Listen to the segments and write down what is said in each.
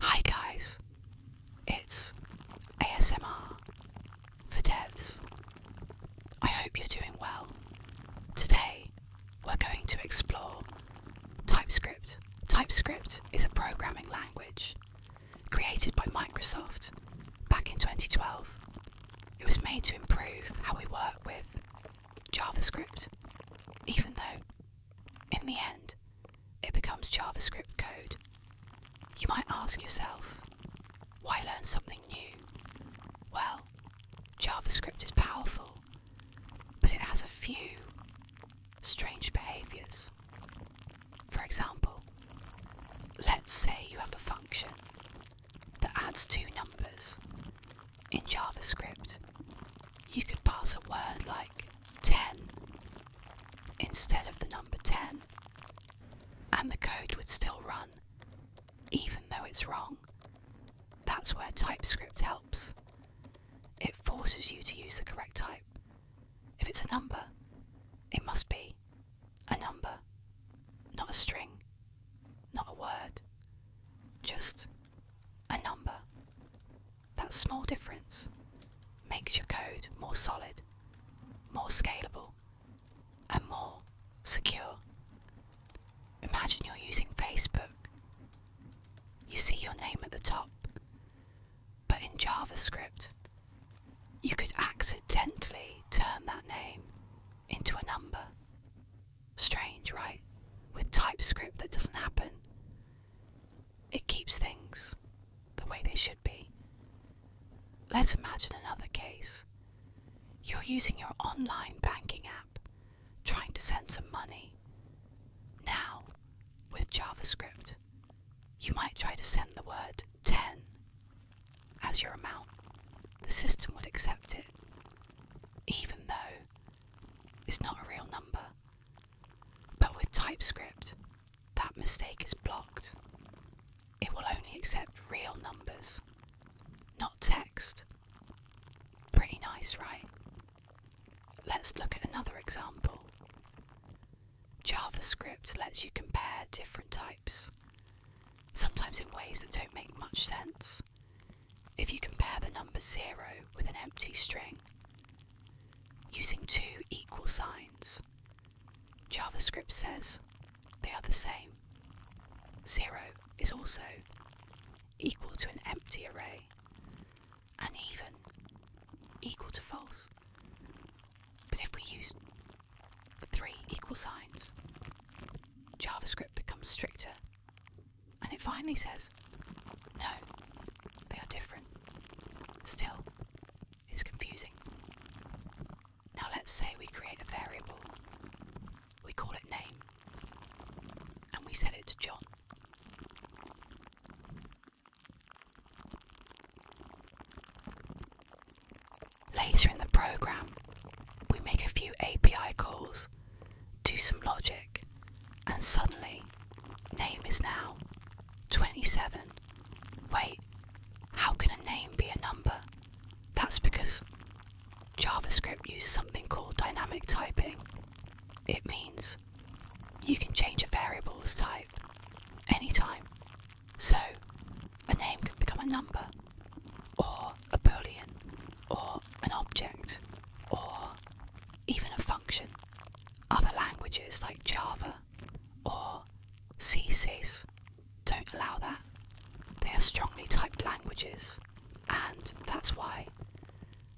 Hi guys, it's ASMR for devs. I hope you're doing well. Today we're going to explore TypeScript. TypeScript is a programming language created by Microsoft back in 2012. It was made to improve how we work with JavaScript, even though in the end it becomes JavaScript code. You might ask yourself, why learn something new? Well, JavaScript is powerful, but it has a few strange behaviors. For example, let's say you have a function that adds two numbers in JavaScript, you could pass a word like 10 instead of the number 10, and the code would still run, even though it's wrong. That's where TypeScript helps. It forces you to use the correct type. If it's a number, it must be a number, not a string, not a word, just a number. That small difference makes your code more solid, more scalable, and more secure. Imagine you're using Facebook. You see your name at the top, but in JavaScript, you could accidentally turn that name into a number. Strange, right? With TypeScript, that doesn't happen. It keeps things the way they should be. Let's imagine another case. You're using your online banking app, trying to send some money. Now, with JavaScript, you might try to send the word 10 as your amount, the system would accept it, even though it's not a real number. But with TypeScript, that mistake is blocked. It will only accept real numbers, not text. Pretty nice, right? Let's look at another example. JavaScript lets you compare different types, sometimes in ways that don't make much sense. If you compare the number 0 with an empty string, using two equal signs, JavaScript says they are the same. 0 is also equal to an empty array, and even equal to false. But if we use three equal signs, JavaScript becomes stricter and it finally says, no, they are different. Still, it's confusing. Now let's say we create a variable. We call it name and we set it to John. Later in the program, we make a few API calls, do some logic, and suddenly, name is now 27. Wait, how can a name be a number? That's because JavaScript uses something called dynamic typing. It means you can change a variable's type any time, So a name can become a number, or a boolean, or an object, or even a function. Other languages like Java or CSIS don't allow that. They are strongly typed languages, and that's why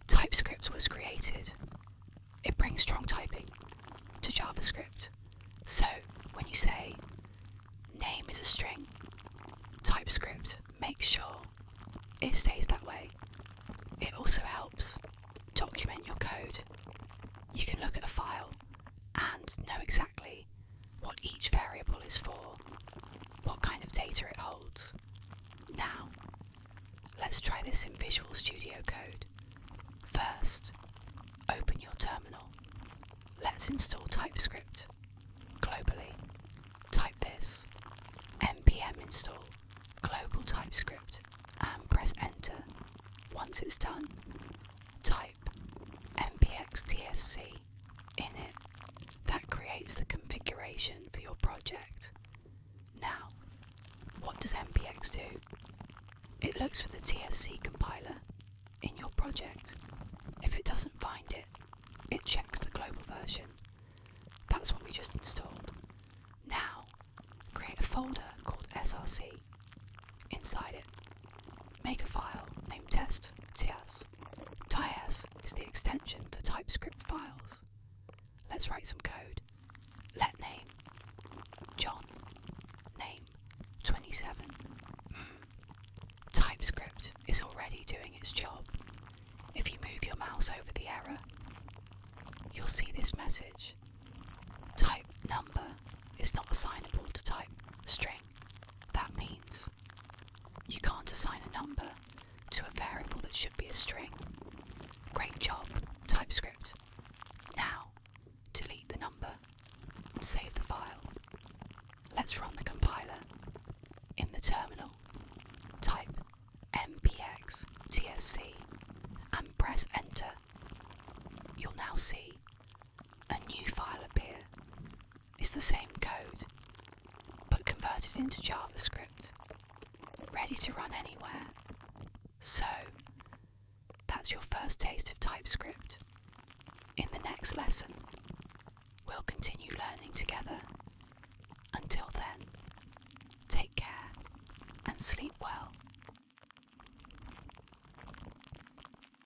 TypeScript was created it brings strong typing to JavaScript. So when you say name is a string, TypeScript makes sure it stays that way. It also helps document your code. You can look at a file and know exactly what each variable is for, what kind of data it holds. Now, Let's try this in Visual Studio Code. First, open your terminal. Let's install TypeScript. Globally, type this npm install global TypeScript and press enter. Once it's done, type npx tsc in it that creates the configuration for your project. Now, what does MPX do? It looks for the TSC compiler in your project. If it doesn't find it, it checks the global version. That's what we just installed. Now, create a folder called SRC. Inside it, make a file named test.ts Ts is the extension for TypeScript files. Let's write some code. Let name John name 27. Hmm. TypeScript is already doing its job. If you move your mouse over the error, you'll see this message. Type number is not assignable to type string. That means you can't assign a number to a variable that should be a string. Great job, TypeScript. Now, delete the number and save the file. Let's run the compiler. In the terminal, type mpx tsc and press enter. You'll now see a new file appear it's the same code, but converted into JavaScript, ready to run anywhere. So, that's your first taste of TypeScript. In the next lesson, we'll continue learning together. Until then, take care and sleep well.